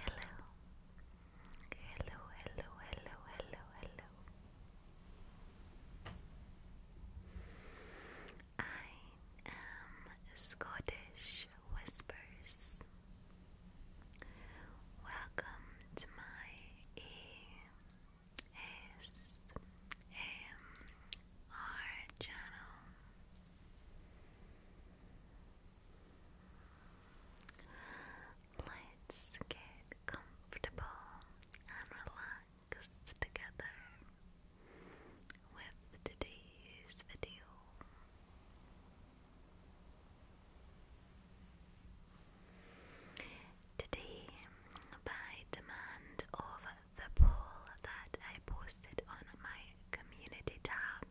Hello. Hello, hello, hello, hello, I am Scottish Whispers. Welcome to my ASMR channel. Let's get comfortable and relaxed together with today's video. Today, by demand of the poll that I posted on my community tab.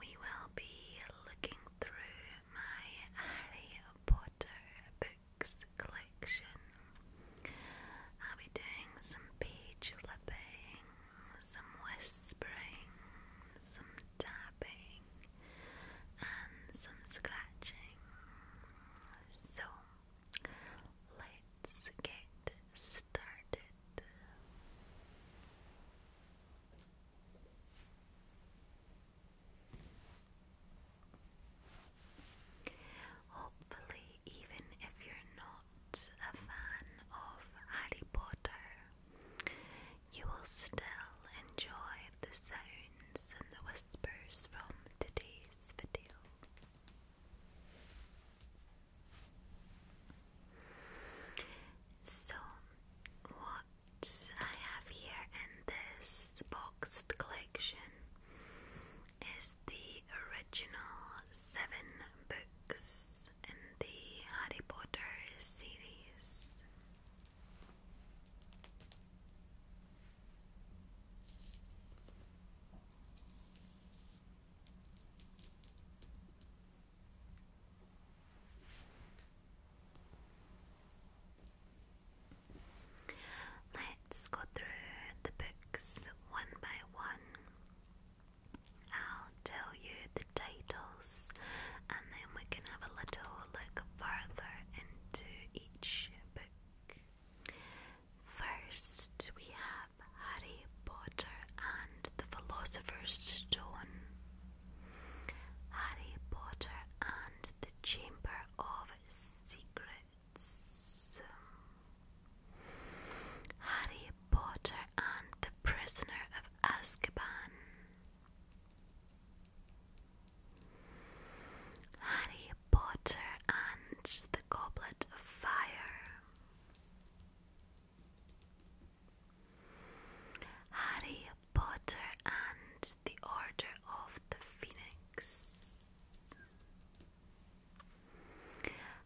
We will be looking through my Harry Potter books collection. I'll be doing some page flipping, some whispering, some tapping, and some scratching. So, Let's get started. Hopefully, even if you're not a fan of Harry Potter, you will still enjoy the sounds and the whispers from today's video. So, what I have here in this boxed collection is the original seven books in the Harry Potter series. Let's go through the books one by one. I'll tell you the titles and then we can have a little look further into each book. First, we have Harry Potter and the Philosopher's Stone. Harry Potter and the Chamber of Secrets. Harry Potter and the Prisoner of Azkaban. Harry Potter and the Goblet of Fire. Harry Potter and the Order of the Phoenix.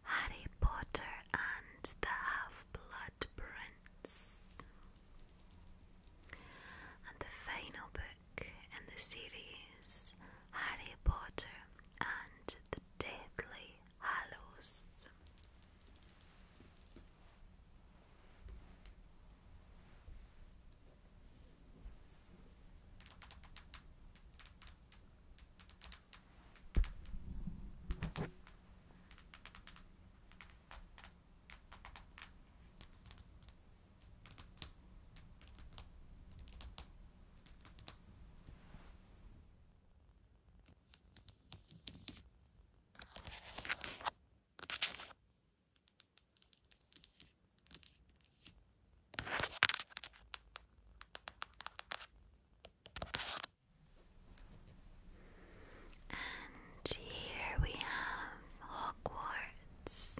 Harry Potter and the Half Blood Prince. And the final book in the series, Harry Potter and the Deathly halus. And here we have Hogwarts.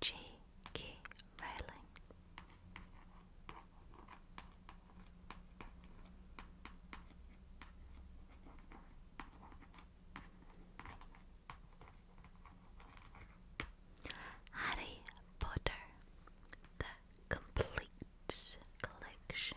J.K. Rowling. Harry Potter, the complete collection.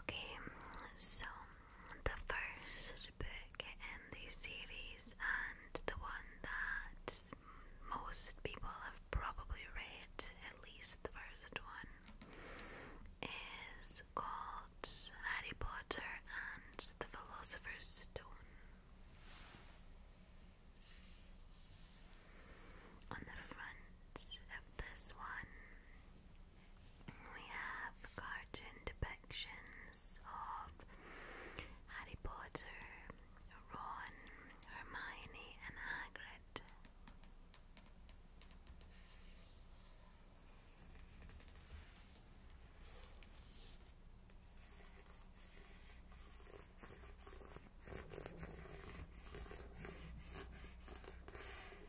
Okay, so the first book in the series, and the one that most people have probably read, at least the first one, is called Harry Potter and the Philosopher's Stone. On the front of this one, we have cartoon depictions of Harry Potter, Ron, Hermione, and Hagrid.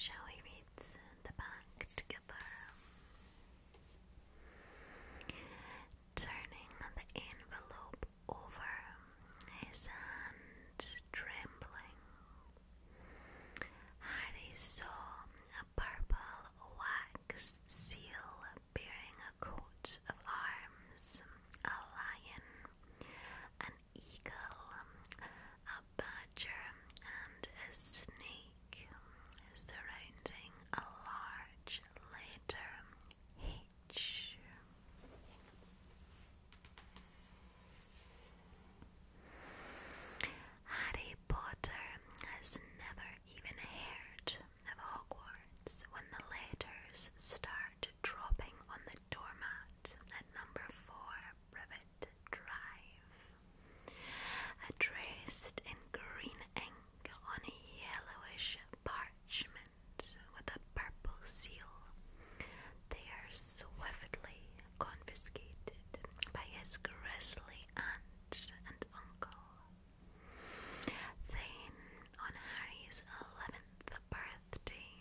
Shall we the back together? Turning the envelope over, his hand trembling. Harry saw a purple wax seal bearing a coat of arms, a lion, an eagle, a badger, and a snake surrounding a large letter H. Harry Potter has never even heard of Hogwarts when the letters start dropping on the doormat at number 4 Privet Drive. Addressed in green ink on yellowish parchment, with a purple seal. They are swiftly confiscated by his grisly aunt and uncle. Then, on Harry's 11th birthday,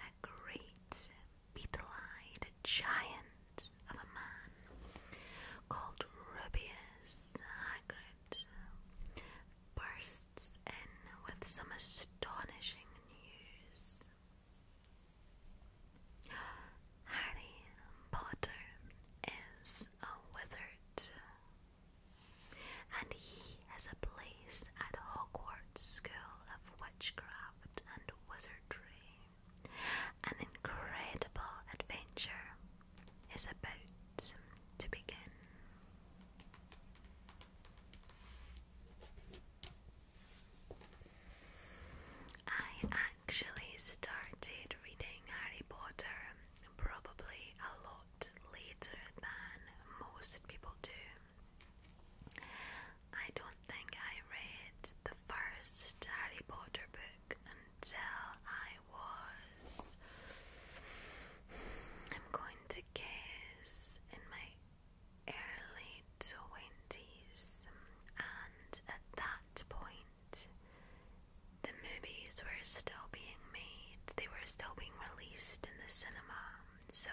a great beetle giant of a man called Rubius Hagrid bursts in with some astonishing news. Harry Potter is a wizard, and he has a place at Hogwarts School of Witchcraft and Wizardry. An incredible adventure is about to begin. I actually started reading Harry Potter probably a lot later than most people do. I don't think I read the first Harry Potter book until I was. I'm going to guess in my early 20s, and at that point, the movies were still being made, they were still being released in the cinema. So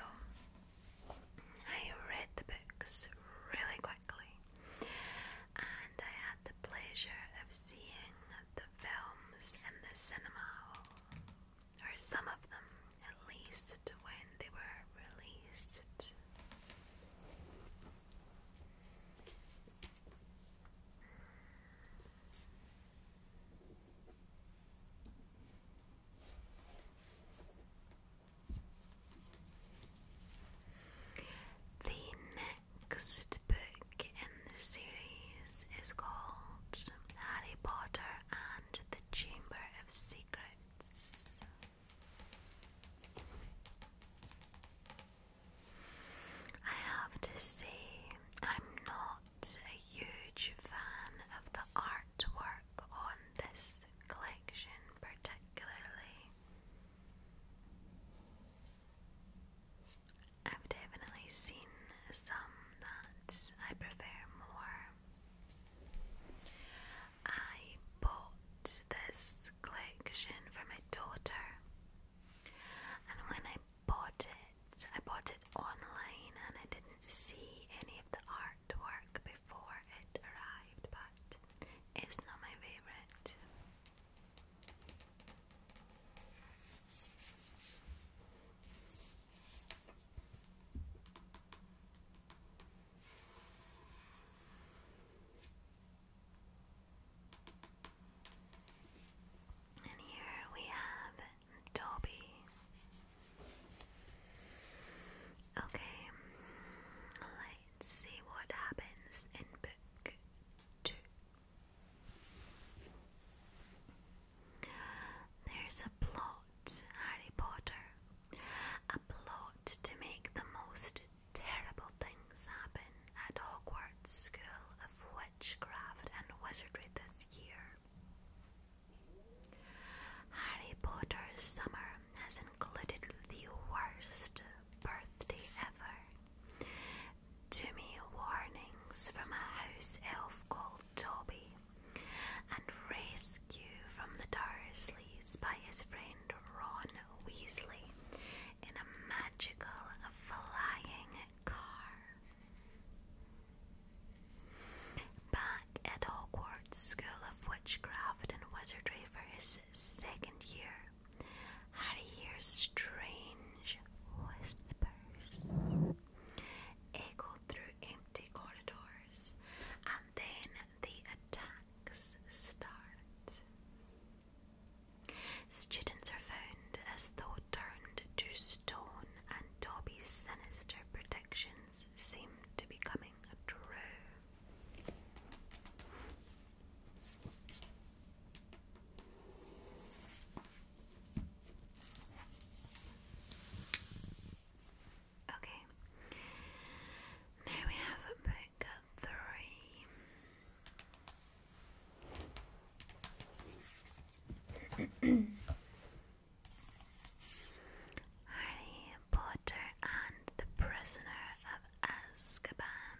I read the books really quickly, and I had the pleasure of seeing the films in the cinema or some of them at least, when they were released. The next book in the series is called Harry Potter and the Chamber of Secrets. I have to say, I'm not a huge fan of the artwork on this collection, particularly. I've definitely seen some that I prefer more I bought this collection for my daughter, and when I bought it, I bought it online and I didn't see any of the artwork before it arrived, but it's not my favorite. And here we have Dobby. Okay, let's see what happens in book two. There's a plot Harry Potter, a plot to make the most terrible things happen at Hogwarts School of Witchcraft and Wizardry this year. Harry Potter's summer has included the worst birthday ever. Too many warnings from a house elf called Dobby, and rescue from the Dursleys by his friend Ron Weasley in a magical flying car. Back at Hogwarts School of Witchcraft and Wizardry for his second year, Harry hears strange whispers echo through empty corridors and then the attacks start. Students are found as thought turned to stone, and Dobby's sinister predictions seem to be coming true. Okay. Now we have book three. Harry Potter and the Prisoner of Azkaban.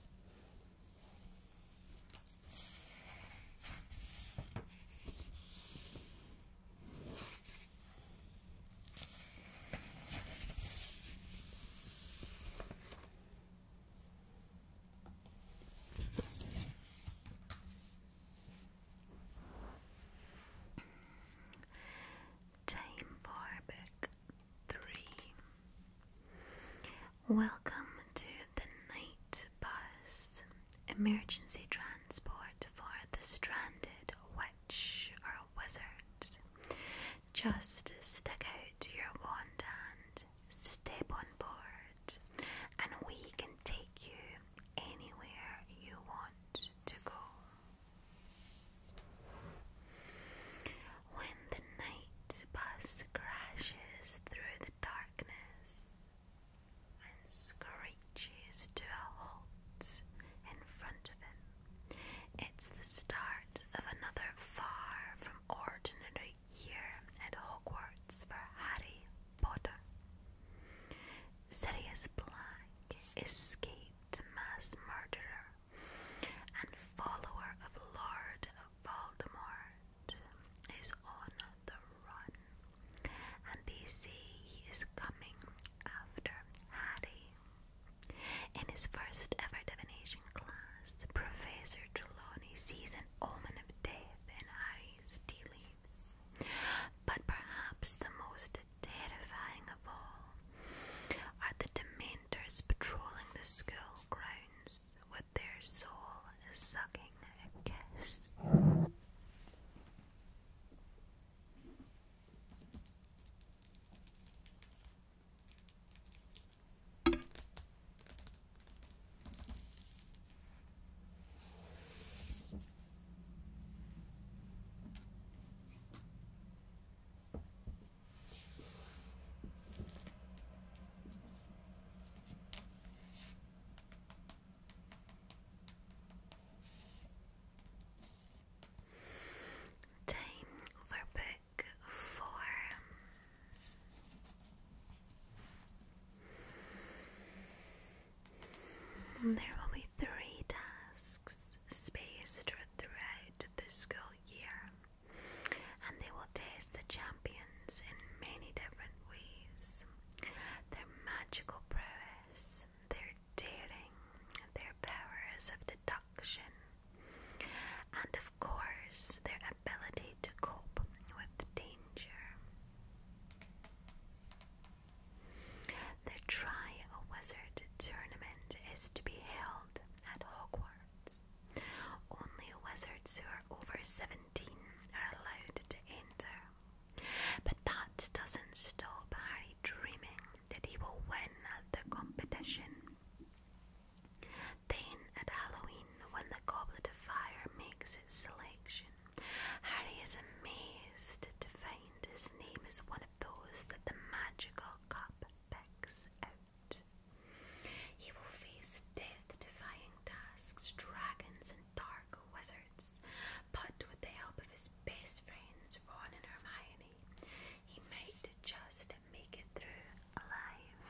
Jane Barbeck three. Welcome to the night bus, emergency transport for the stranded witch or wizard. Just stick out your wand and step on board, and we can take you anywhere you want to go. When the night bus crashes through the darkness and screeches to a halt in front of him, it's the start of another far from ordinary year at Hogwarts for Harry Potter. Sirius Black, escaped mass murderer and follower of Lord Voldemort, is on the run, and they say he is coming after Harry. In his first ever divination class, Professor Trelawney sees an omen of death in Harry's tea leaves, but perhaps the most terrifying of all are the Dementors patrolling the school grounds with their soul-sucking kiss? Time for book four. there will be three tasks spaced throughout the school year and they will taste the champions in many different ways their magical prowess, their daring, their powers of deduction, and of course, their ability to cope with danger. The Try a Wizard tournament is to be held at Hogwarts. Only wizards who are over 17 are allowed to enter. But that doesn't stop Harry dreaming that he will win the competition. Then at Halloween, when the Goblet of Fire makes its selection, Harry is amazed to find his name is one of those that the magical cup picks out. He will face death-defying tasks, dragons, and dark wizards, but with the help of his best friends, Ron and Hermione, he might just make it through alive.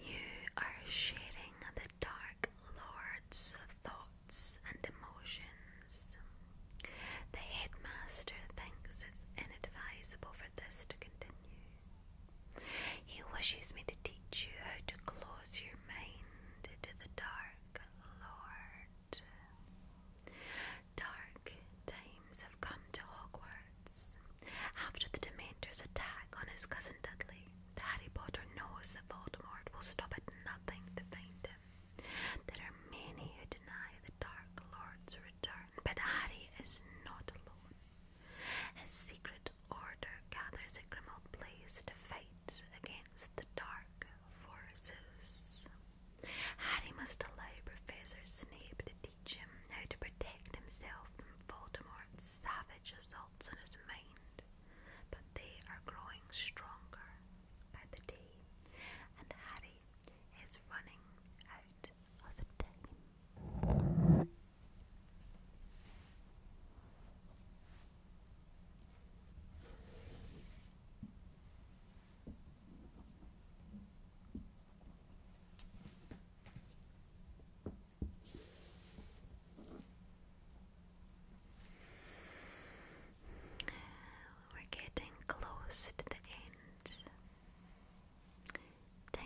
You are shading the dark lord's thoughts and emotions the headmaster thinks it's inadvisable for this to continue. He wishes me to teach you how to close your mind to the dark lord. Dark times have come to Hogwarts. After the Dementor's attack on his cousin Dudley, Harry Potter knows that Voldemort will stop at nothing to find him. There are many who deny the Dark Lord's return, but Harry is not alone. His secret order gathers at Grimald Place to fight against the dark forces. Harry must delay Professor Snape to teach him how to protect himself from Voldemort's savage assaults on his mind, but they are growing stronger by the day, and Harry is running out of time. We're getting close to the end Time for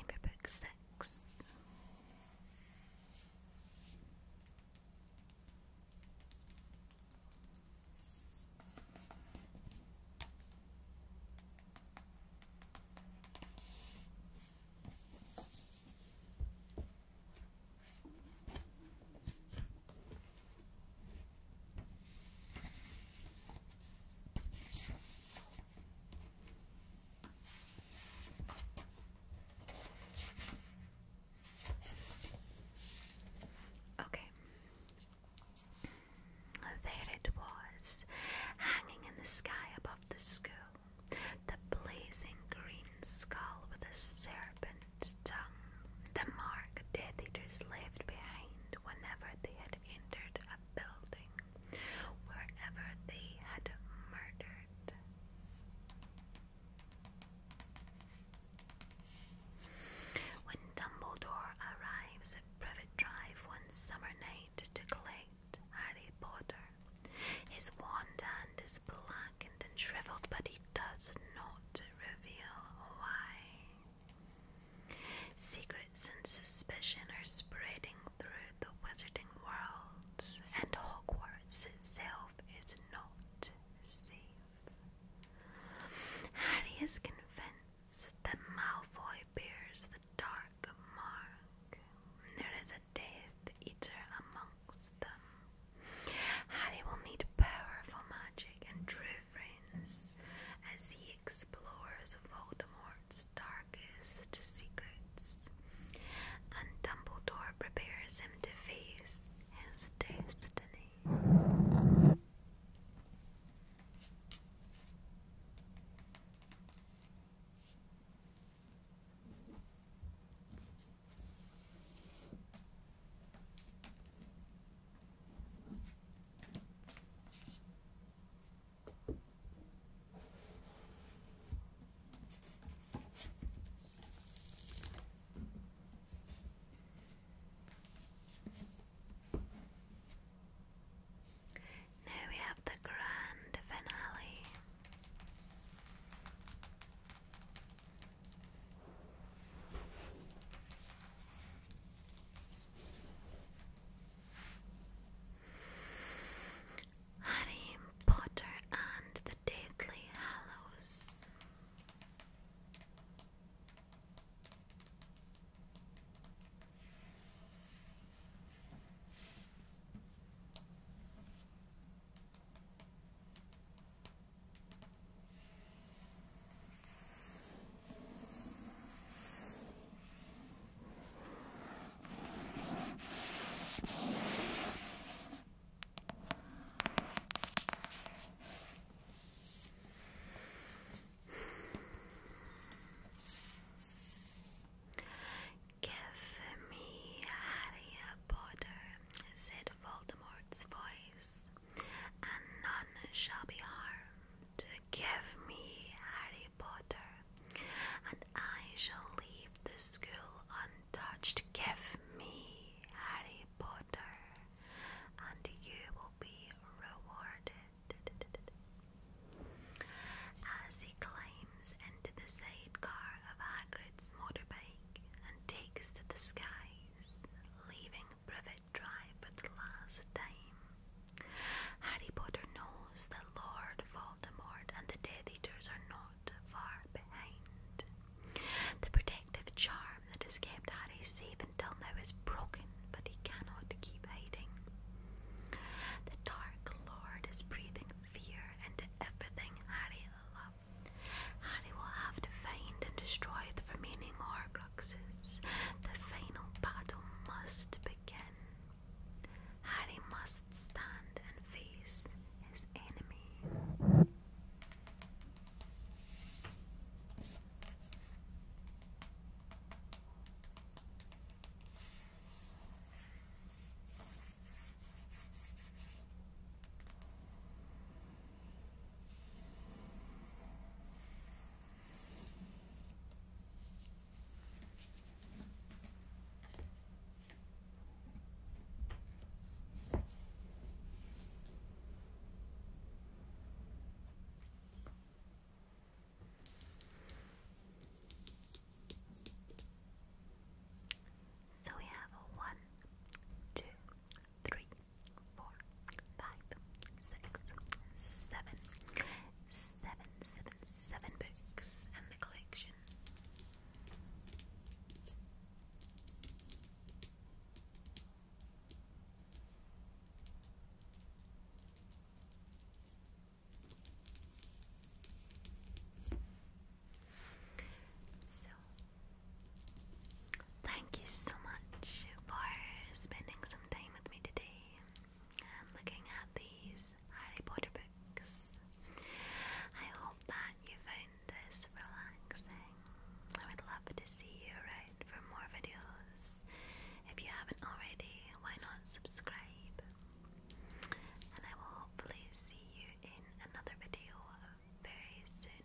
Okay. There it was, hanging in the sky above the school, the blazing green skull with a serpent tongue, the mark Death Eaters left behind whenever they had had entered a building wherever they had murdered. When Dumbledore arrives at Privet Drive one summer night to collect Harry Potter, his wand hand is blackened and shriveled, but he does not reveal why. Secrets and suspicion are spreading through the wizarding world, and Hogwarts itself is not safe. Harry is convinced that Malfoy bears the dark mark. There is a Death Eater amongst them. Harry will need powerful magic and true friends as he explores Voldemort's darkest secrets, and Dumbledore prepares him to face his destiny. Now we have the grand finale. Harry Potter and the Deathly Hallows. Give me Harry Potter, said Voldemort's voice, and none shall be harmed give me Harry Potter, and I shall leave the school untouched. Give me Harry Potter, and you will be rewarded. As he climbs into the sidecar of Hagrid's motorbike and takes to the skies, leaving Privet Drive for the last time. Harry Potter knows that Lord Voldemort and the Death Eaters are not far behind. The protective charm that has kept Harry safe until now is broken, but he cannot keep hiding. The Dark Lord is breathing fear into everything Harry loves. Harry will have to find and destroy the remaining orc the final battle must begin. Harry must stand and face his enemy. So we have one, two, three, four, five, six, seven, seven, seven, seven books in the collection. So, thank you so much for spending some time with me today looking at these Harry Potter books. I hope that you found this relaxing. I would love to see you around for more videos. If you haven't already, why not subscribe? And I will hopefully see you in another video very soon.